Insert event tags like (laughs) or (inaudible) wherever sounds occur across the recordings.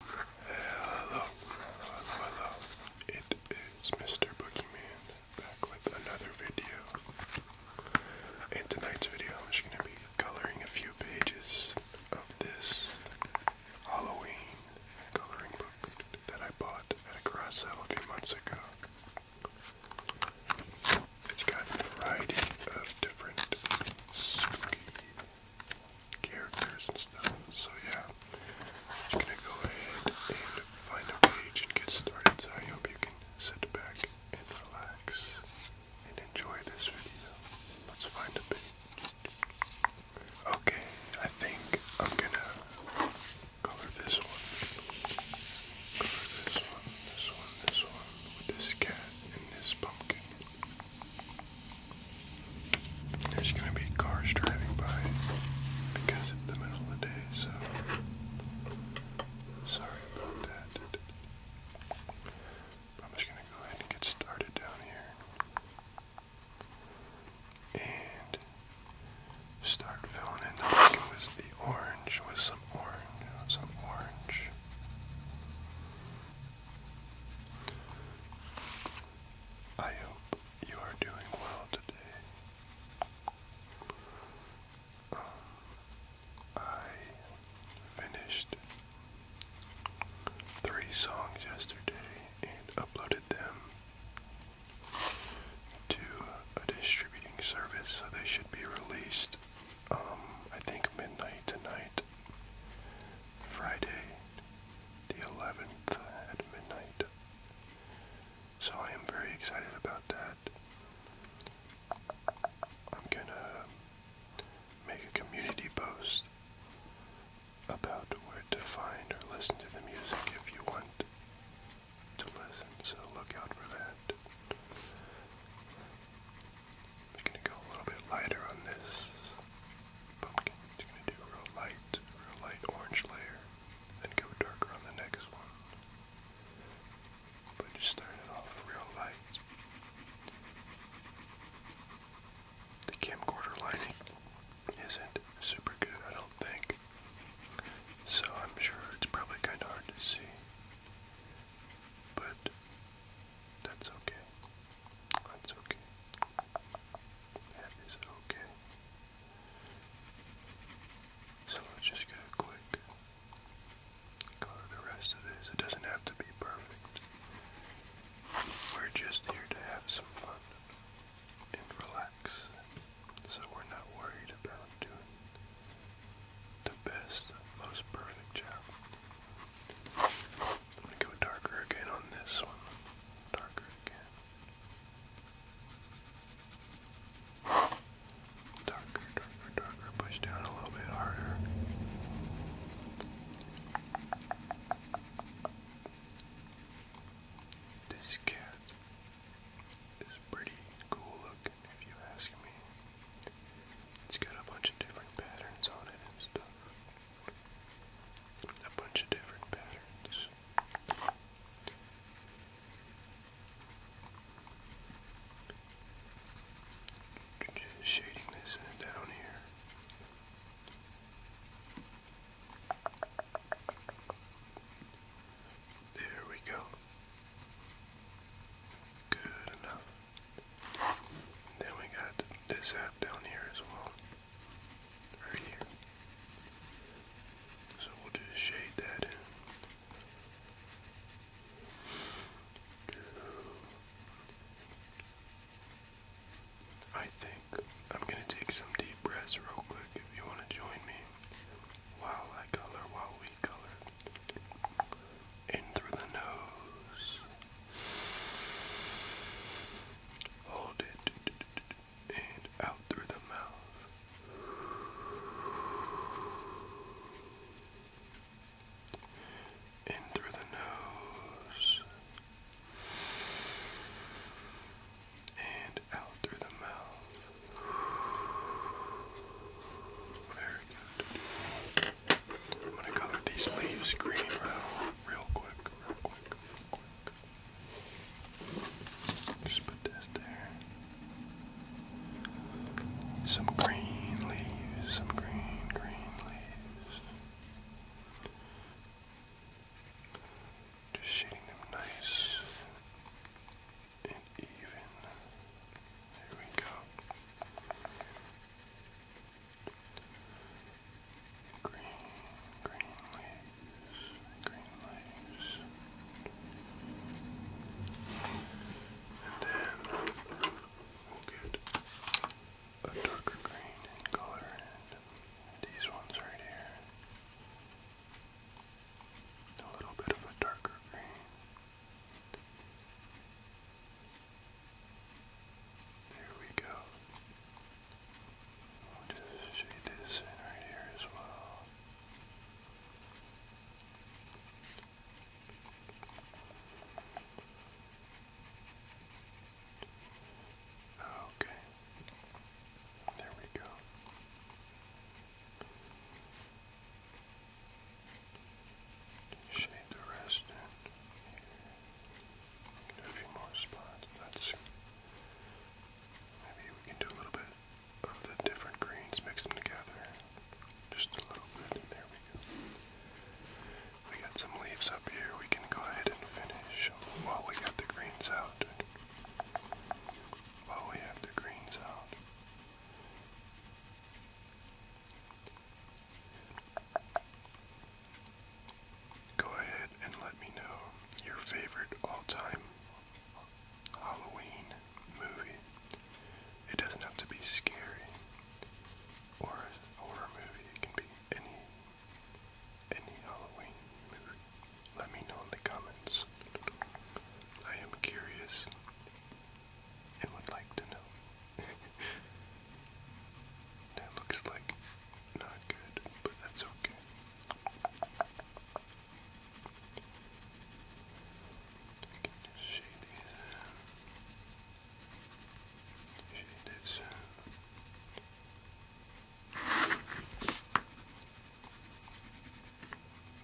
Hello, hello, hello. It is Mr. Boogeyman back with another video. In tonight's video, I'm going to be coloring a few pages of this Halloween coloring book that I bought at a garage sale a few months ago. It's got a variety of different spooky characters and stuff. So yeah, I'm gonna go ahead and find a page and get started. So I hope you can sit back and relax and enjoy this video. Let's find a page. Okay, I think I'm gonna Color this one. Color this one, this one, this one, with this cat and this pumpkin. There's gonna be cars driving by because it's the middle of the day, so sorry about that. I'm just gonna go ahead and get started down here. And start filling in. I think it was the orange with some orange, some orange. I hope you are doing well today. Um, I finished three songs yesterday and uploaded them to a distributing service, so they should be released. Um, I think midnight tonight, Friday, the 11th at midnight. So I am very excited about that. I'm gonna make a community post about where to find or listen to the music if you want to listen, so look out for that. We're gonna go a little bit lighter on this pumpkin. Just gonna do real light, real light orange layer, then go darker on the next one. But just start off real light. The camcorder lighting isn't super good, I don't think. So I'm sure it's probably kind of hard to see. But that's okay. That's okay. That is okay. So let's just get a quick color the rest of this. It doesn't have to be perfect. We're just here to have some fun and relax so we're not worried about doing the best, most perfect job. I'm go darker again on this one. Darker again. Darker, darker, darker. Push down a little bit harder. This cat is pretty cool if you ask me. It's got a bunch of different patterns on it and stuff. A bunch of different patterns. Just shading this down here. There we go. Good enough. Then we got this app down here as well. Right here. So we'll just shade that in. I think I'm going to take some deep breaths real quick if you want to join me. While I color, while we color. In through the nose. Hold it. And out through the mouth. In through the nose. And out through the mouth. Very good. I'm gonna color these leaves green real, real quick, Just put this there. Some green leaves, some green, green leaves. Just shading them nice and even. There we go. Green, green leaves, green leaves. And then we'll get a darker green color and these ones right here. A little bit of a darker green. There we go. We'll just shade this in right here as well. Okay. There we go. Shade the rest in. We can do a few more spots. That's maybe we can do a little bit of the different greens, mix them together. Just a little bit. There we go. We got some leaves up here. We can go ahead and finish while we got the greens out. While we have the greens out. Go ahead and let me know your favorite all time Halloween movie. It doesn't have to be scary or horror movie, it can be any any Halloween movie. Let me know in the comments. I am curious and would like to know. (laughs) that looks like not good, but that's okay. We can just shade these in. Shade uh,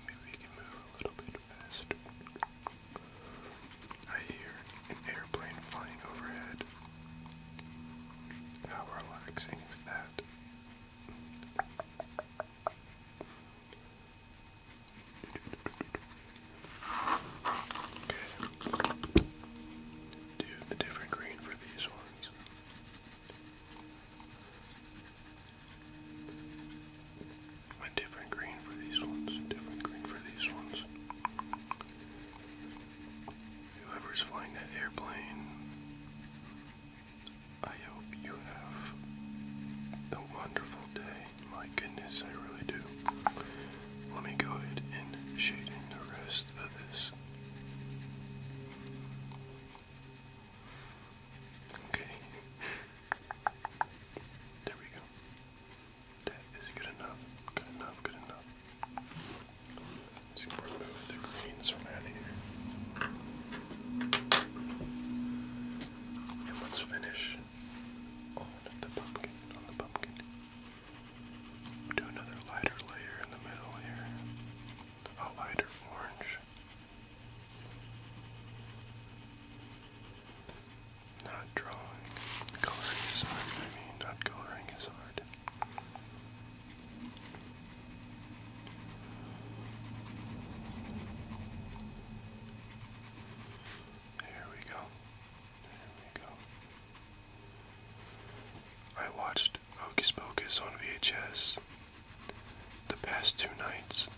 Maybe we can move a little bit faster. I hear an airplane flying overhead. How relaxing is that? Okay. Do the different green for these ones. A different green for these ones, different green for these ones. Whoever's flying that airplane, I hope you have a wonderful day. My goodness, I really do. Let me go ahead and shade in the rest of this. Okay. There we go. That is good enough. Good enough. Good enough. Let's remove the greens from out of here. And let's finish on the pumpkin. On the pumpkin. Do another lighter layer in the middle here. A lighter orange. Not drawing. Coloring is hard, I mean, not coloring is hard. There we go. There we go. I watched Hocus Pocus on VHS the past two nights.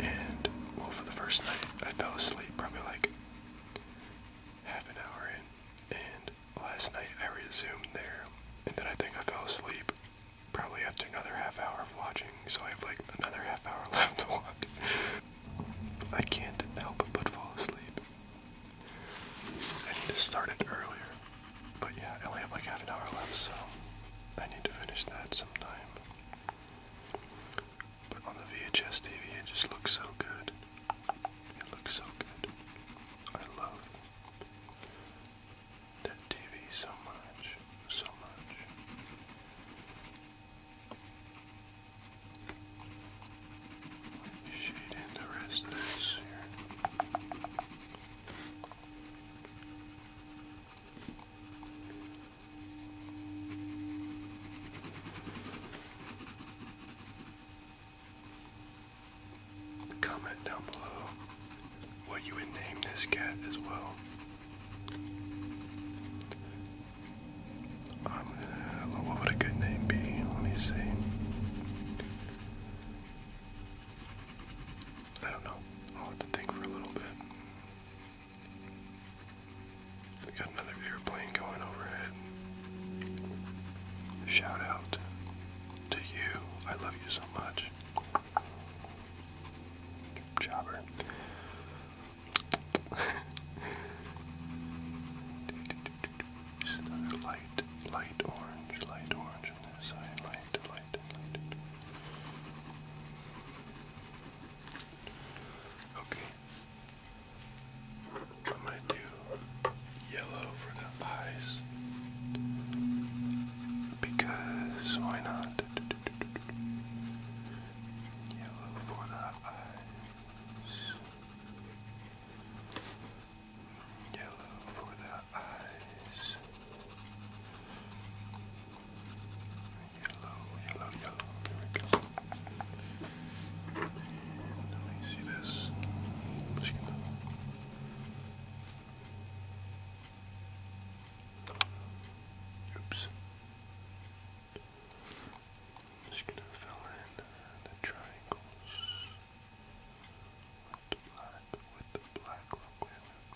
And, well, for the first night, I fell asleep probably like half an hour in. And last night, I resumed there. And then I think I fell asleep probably after another half hour of watching. So I have like another half hour (laughs) left to watch. I can't help but fall asleep. I need to start it earlier. But yeah, I only have like half an hour left, so I need to finish that sometime. But on the VHS TV, it just looks so good. It looks so good. I love that TV so much, so much. Shade in the rest of this here. Comment down below what you would name this cat as well. i what would a good name be? Let me see. I don't know. I'll have to think for a little bit. We got another airplane going overhead. Shout out to you. I love you so much. Jobber. (laughs) Another light, light orange, light orange on this side, light Okay. I'm going to do yellow for the eyes. Because why not? Yellow for the eyes. Yellow for the eyes. Yellow, yellow, yellow. There we go. let me see this. Oops. just gonna fill in the triangles with the black with the black with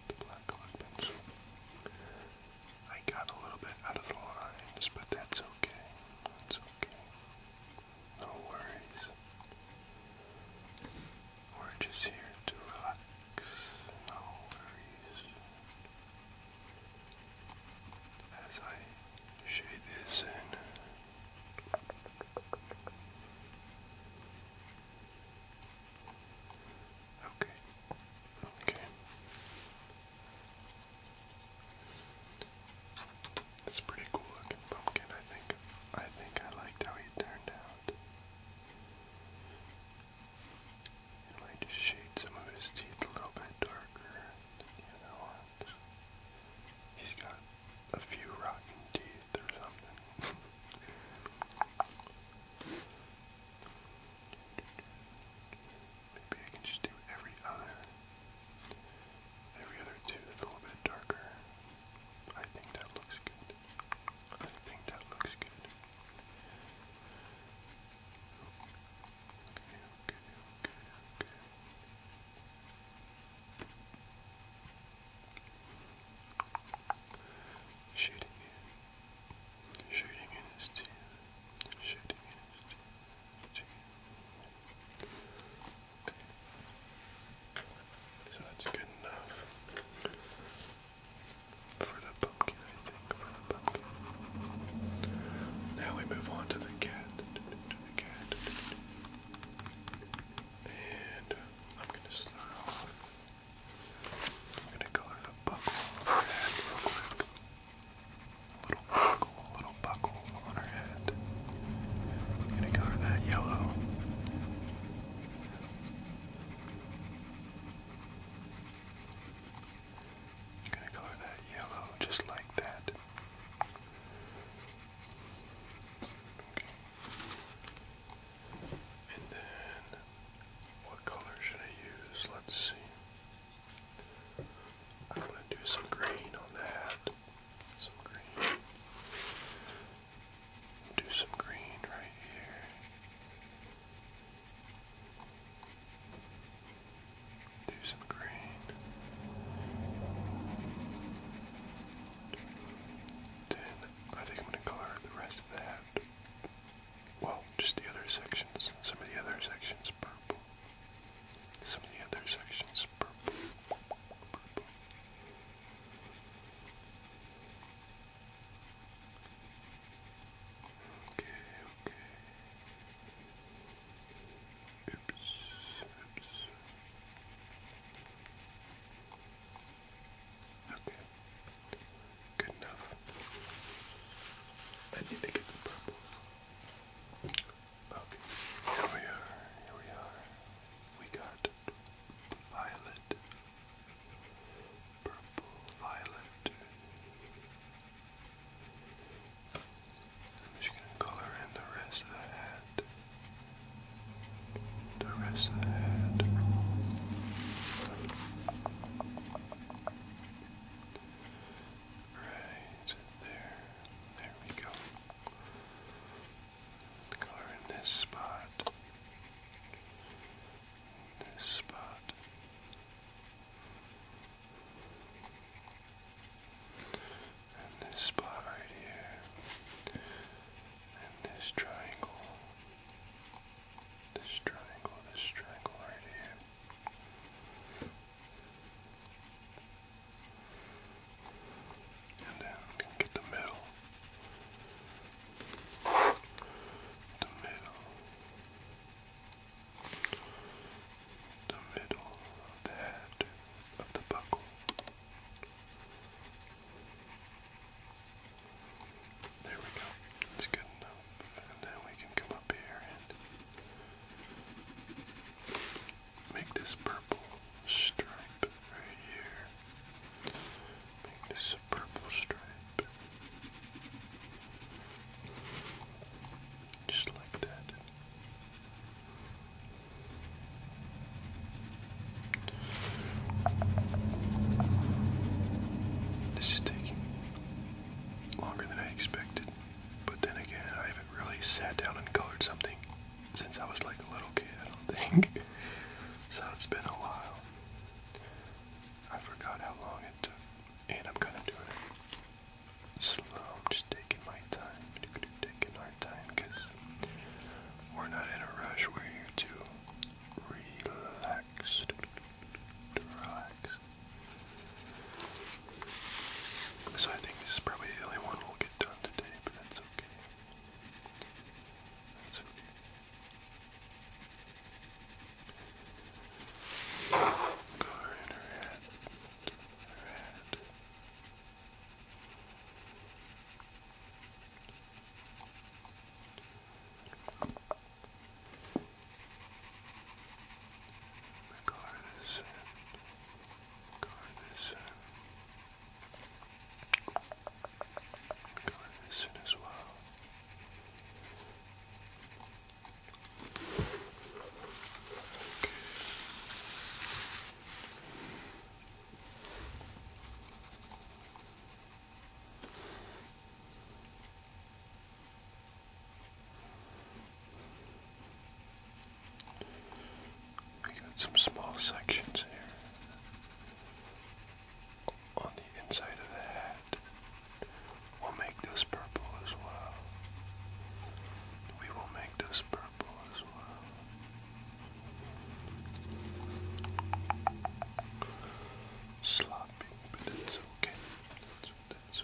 the black pencil. I got a little bit out of the lines, but that's okay. That's okay. No worries. We're just here to relax. No worries. As I shade this in. Okay. Okay. It's a pretty cool looking pumpkin, I think. I think I liked how he turned out. It might just shade some of his teeth a little bit darker than the other ones. He's got a few rotten teeth teeth or something. Maybe I can just do every other, every other tooth a little bit darker. I think that looks good. I think that looks good. Okay, okay, okay, okay. Shooting it. Shooting in his teeth. Shooting in his teeth. So that's good enough. For the pumpkin, I think. For the pumpkin. Now we move on to the cat. To the cat. And uh, I'm gonna start I'm gonna color the buckle on her head real quick. A little buckle, a little buckle on her head. I'm gonna color that yellow. I'm gonna color that yellow just like that. Okay. And then, what color should I use? Let's see. I'm going to do some green on the Some green. Do some green right here. Do some green. Then I think I'm going to color the rest of that. Well, just the other sections. Some of the other sections purple. Some of the other sections purple. Okay, okay. Oops, oops. Okay. Good enough. I need to get the purple. Okay. Here we are. Here we are. We got violet. Purple, violet. I'm just gonna color in the rest of the head the rest of the head right there, there we go the color in this spot this spot and this spot right here and this triangle, this triangle, this triangle right here. And then get the middle. The middle. The middle of the head of the buckle. There we go. It's good enough. And then we can come up here and make this purple stripe right here. Make this a purple stripe. Just like that. This is taking longer than I expected, but then again, I haven't really sat down and colored something since I was like a little kid, I don't (laughs) think. so it's been a while. I forgot how long it took, and I'm kind of doing it slow. just taking my time, taking my time because we're not in a rush. We're here to relax. To relax. So I think this is probably the only one we'll get done today, but that's okay. That's in her head. Guard the sun. Guard the sun. Guard the sun as well. Okay. We got some small sections here on the inside of the head. We'll make this purple as well. We will make this purple as well. Sloppy, but that's okay. That's,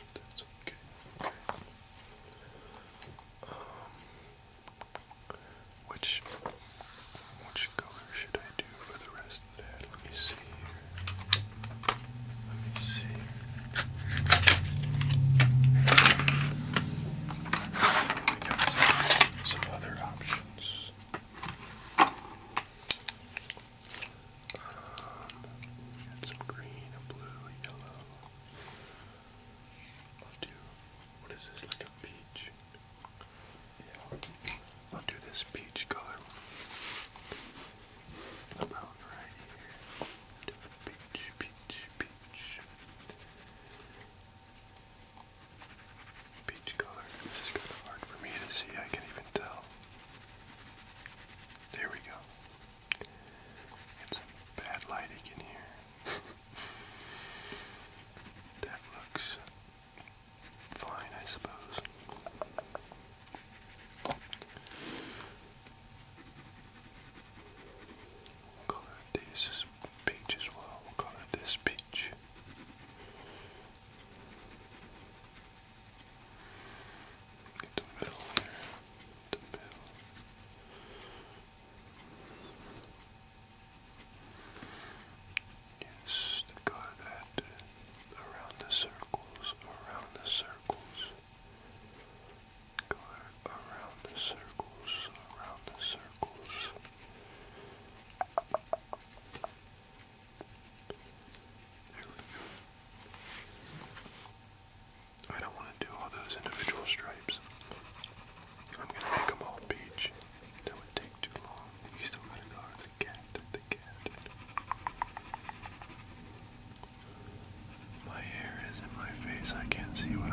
okay. Um, which, which color should I do for the rest of the Let me see here. Let me see. We got some other options. Um, got some green, blue, yellow. I'll do, what is this, like a peach? Yeah, I'll do this peach color. About right here. peach, peach, peach peach color. It's just kind of hard for me to see. I can't even tell. There we go. It's bad lighting in here. (laughs) that looks fine, I suppose. we this peach as well. we this peach. Get the middle there. The middle. Yes, go that around the circles, around the circles. Go around the circles, around the circles. I don't want to do all those individual stripes. I'm gonna make all beach. That would take too long. You still gotta go the cat, the cat. My hair is in my face. I can't see what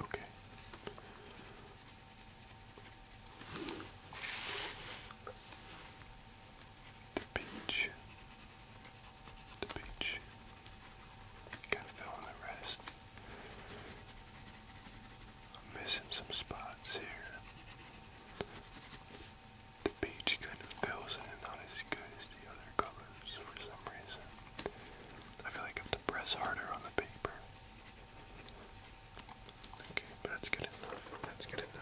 Okay. The beach. The beach. Kind of feeling the rest. missing some spots here. The beach kind of fills in, not as good as the other color for some reason. I feel like I have to press harder on the paper. Okay, but that's good enough. That's good enough.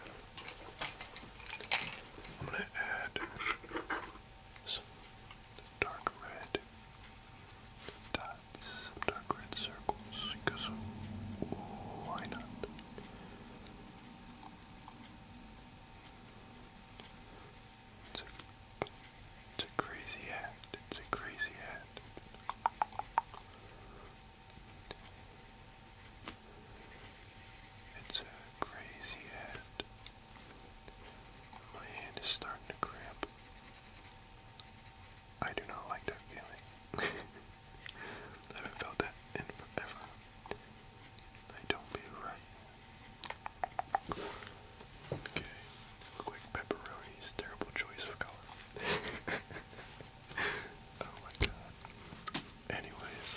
I'm gonna add some dark red dots, dark red circles, because why not? It's a, crazy act. It's a crazy act. It's a crazy act. My hand is starting to cramp. I do not like that feeling. (laughs) I haven't felt that in forever. I don't be right. Okay, look pepperoni's terrible choice of color. (laughs) oh my god. Anyways,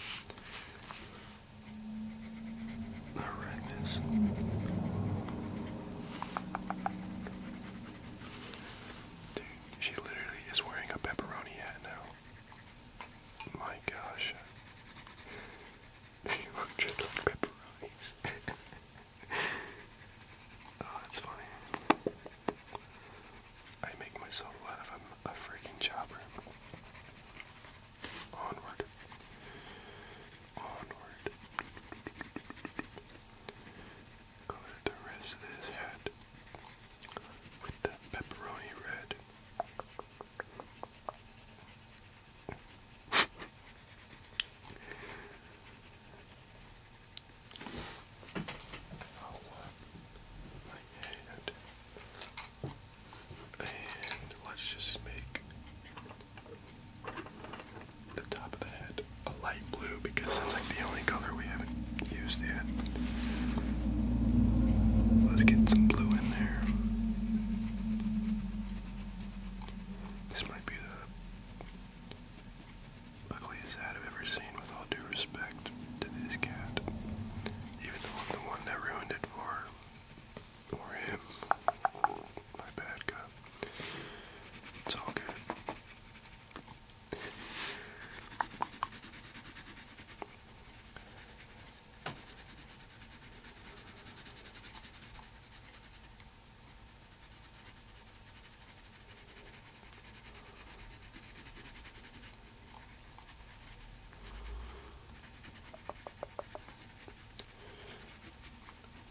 the redness. Dude, she literally is wearing a pepperoni hat now. My gosh. Roger like pepperonis. oh, that's funny. I make myself laugh. I'm a freaking chopper. Onward. Onward. Color the rest of his head with that pepperoni red. I'll let's just make the top of the head a light blue because that's like the only color we haven't used yet. Let's get some blue in there. This might be the ugliest ad I've ever with all due respect to this cat. Even though the one that ruined it for her. him. My bad guy. It's all good.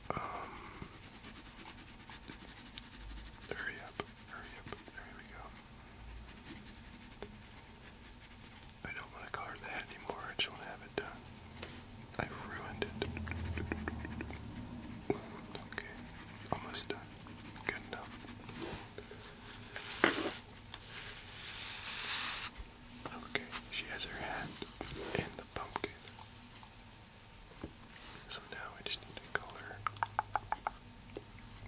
Um, hurry up, hurry up, there we go. I don't want to color that anymore. I just want to have it done. I ruined it. Okay, almost done. Good enough. Okay, she has her hat in the pumpkin. So now I just need to color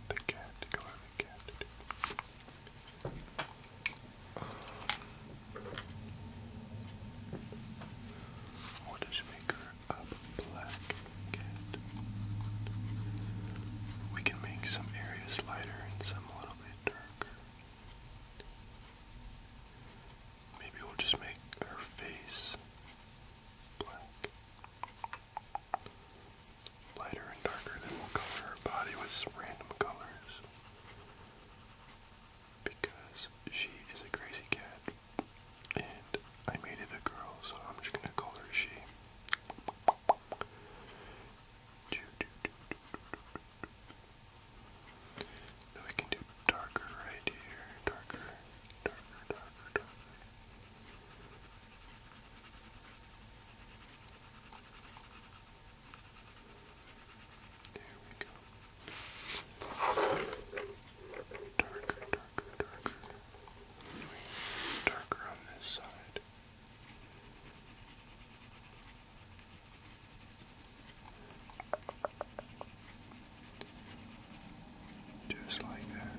the cat, color the cat. What is maker of black cat? We can make some areas lighter and some a little bit darker. Maybe we'll just make her face black. Lighter and darker, then we'll color her body with random colors because she is a crazy cat, and I made it a girl, so I'm just gonna call her she. Now we can do darker right here, darker, darker, darker, darker. There we go. Darker, darker, darker. Darker on this side. Just like that.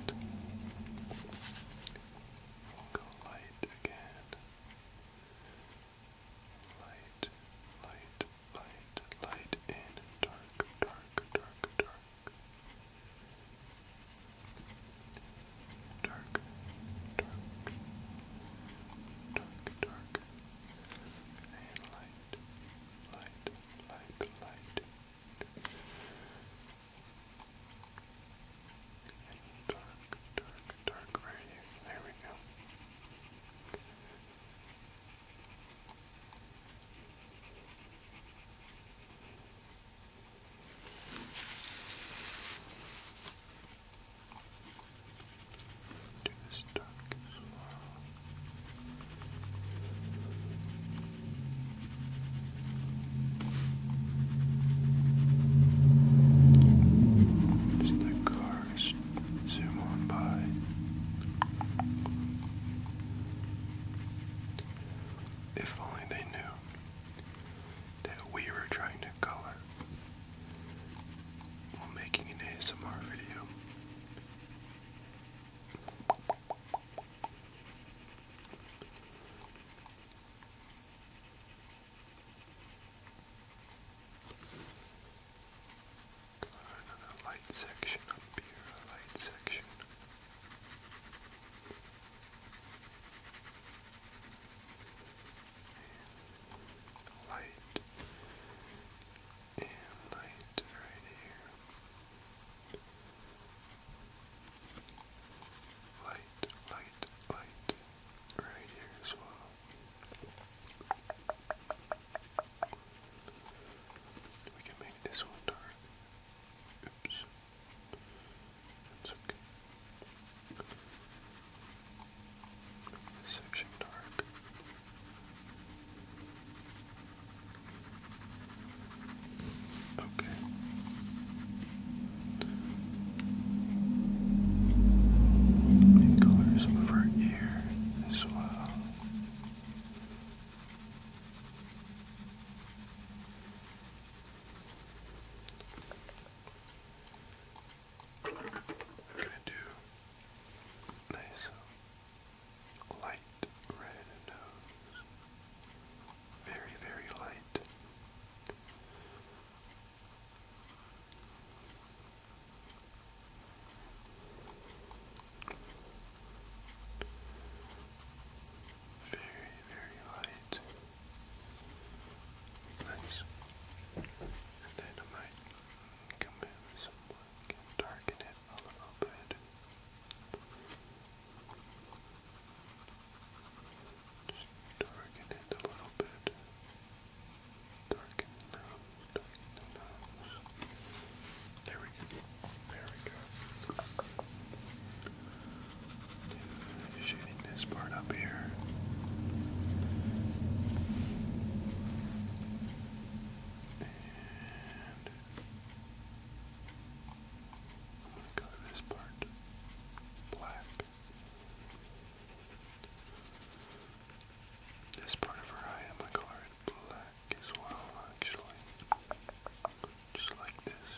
light again light, light, light, light, and dark, dark, dark, dark, dark, dark, dark, dark, and light, light, light, light and dark, dark, dark right here. There we go. Do dark as well. Just like if only they knew that we were trying to color while making an ASMR video. Another light section up here, light section. light and light right here. Light, light, light right here as well. We can make this one dark. Oops. That's okay. section dark. Okay. And color some as well. I'm gonna do nice um, light red nose. Um, very, very light. Very, very light. Nice. And then I might come in with darken it a little bit. Just darken it a little bit. Darken the nose, darken the nose. There we go. There we go. And shading this part up here. And I'm going to color this part black. This part of her eye, I'm going to color it black as well, actually. Just like this.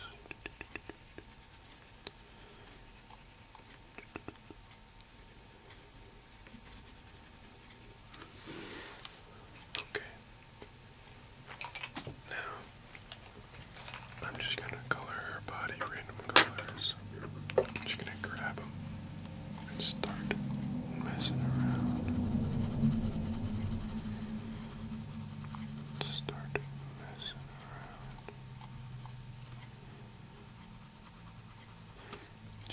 Okay. Now, I'm just going gonna color her body random colors. I'm just gonna grab them and start messing around. Start messing around.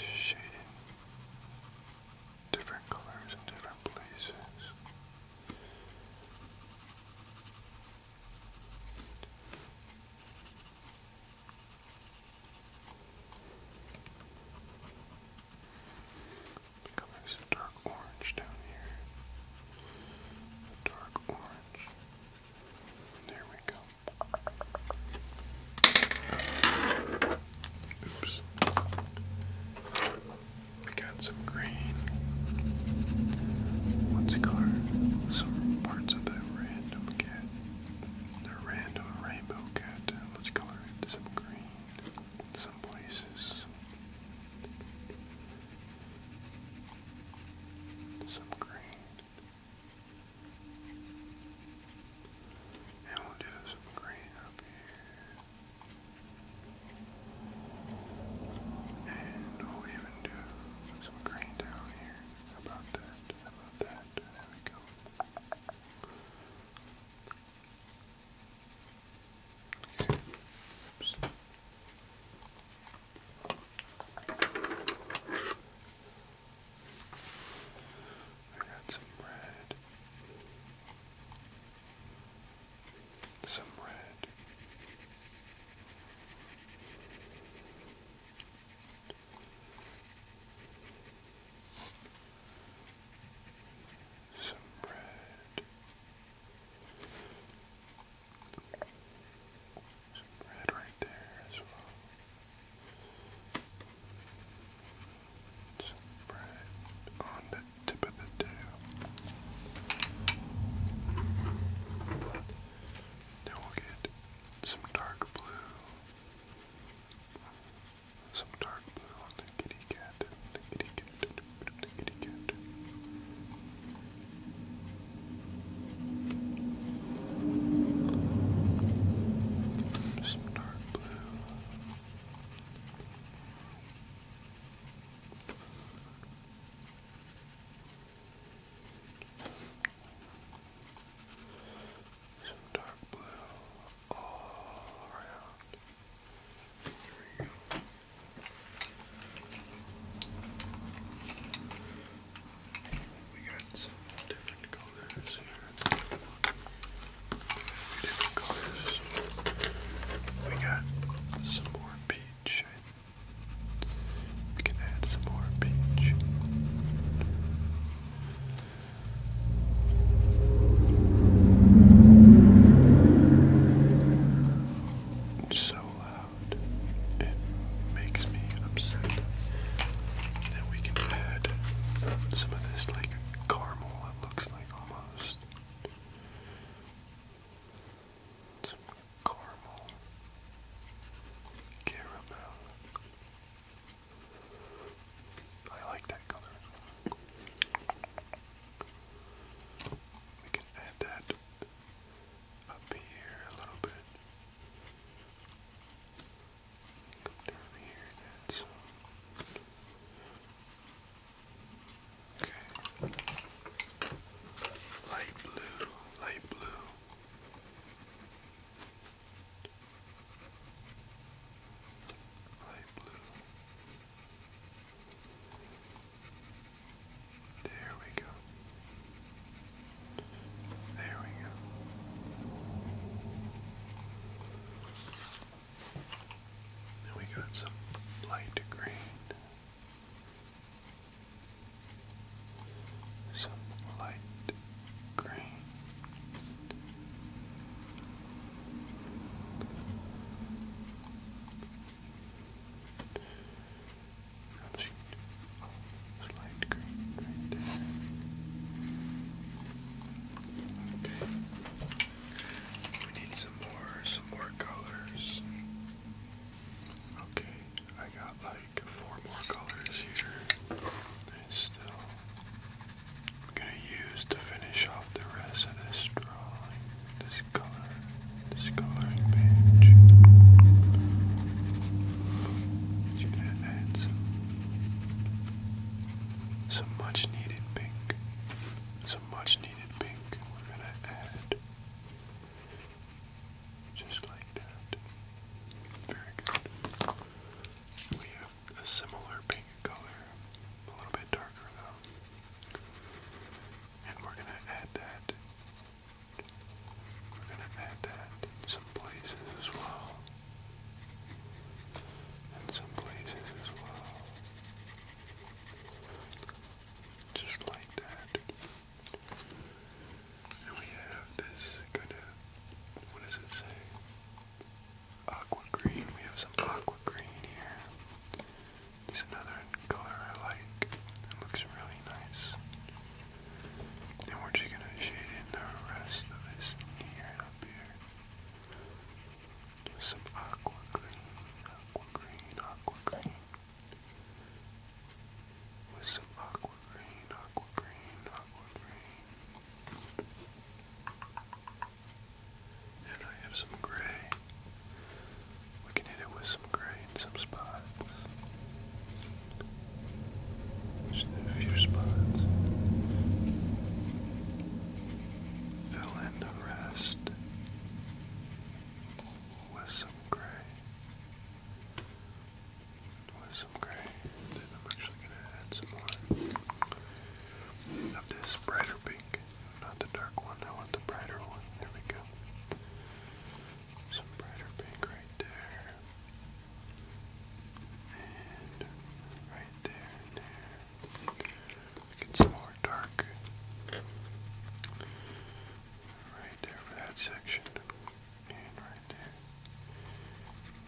Just shading different colors in different places. Think i dark orange down here. dark orange. There we go. Oops. We got some green. What's it Some parts of that red random cat. A random rainbow cat. let's color it some green some places. Some green. And we'll do some green up here. And we'll even do some green down here about that? about that? There we go. Oops. I got some red. Some red some red, some red right there as well. Some red on the tip of the tail. Now we'll get some dark blue, some dark blue the kitty cat, the kitty cat, the kitty cat. Some dark blue. Some dark blue all around. There we go. We got some different colors here. Different colors. We got some more peach, I we can add some more beach. It's so loud. It makes me upset that we can add some of this like caramel it looks like almost caramel, caramel. I like that color. We can add that up here a little bit. Come down here and Okay. Light blue, light blue light blue. There we go. There we go. we got some light green some light green. Light green Okay. We need some more, some more colors. Okay, I got like four more colors here. I still I'm gonna use to finish off the rest of this drawing, this color, this coloring page. You're gonna add some, some much needed pink. Some much needed pink. We're gonna add just like that. Very good. We have a similar pink color, a little bit darker though. And we're gonna add that. We're gonna add that some places as well. In some places as well. Just like that. And we have this kind of, what does it say? Aqua green. We have some aqua green here. It's another color I like. It looks really nice. And we're just gonna shade in the rest of this here up here. Some aqua green, aqua green, aqua green with some aqua green, aqua green, aqua green. And I have some gray. We can hit it with some gray in some spots. Just a few spots. Fill in the rest with some gray some gray. then I'm actually going to add some more of this brighter pink. Not the dark one, I want the brighter one. There we go. Some brighter pink right there. And right there and there. Get some more dark. Right there for that section and right there,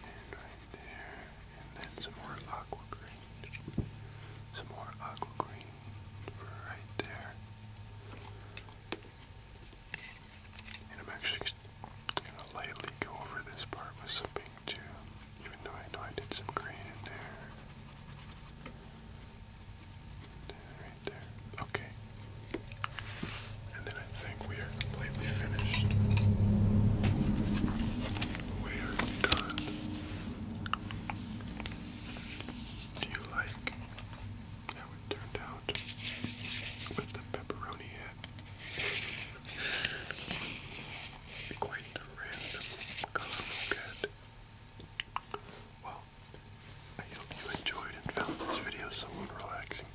and right there, and then some more aqua green, some more aqua green right there. And I'm actually gonna lightly go over this part with some pink too, even though I know I did some green in there. Right Okay. And then I think we are completely finished. We are done. Do you like how it turned out with the pepperoni head? Quite the random color we'll get. I hope you enjoyed and found this video somewhat relaxing.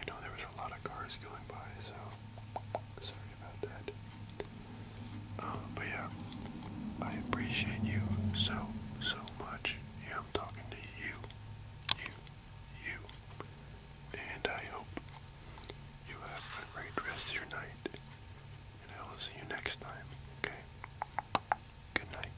I know there was a lot of cars going by, so sorry about that. Um, but yeah, I appreciate you so, so much. Yeah, I'm talking to you, you, you. And I hope you have a great rest of your night. And I will see you next time, okay? Good night.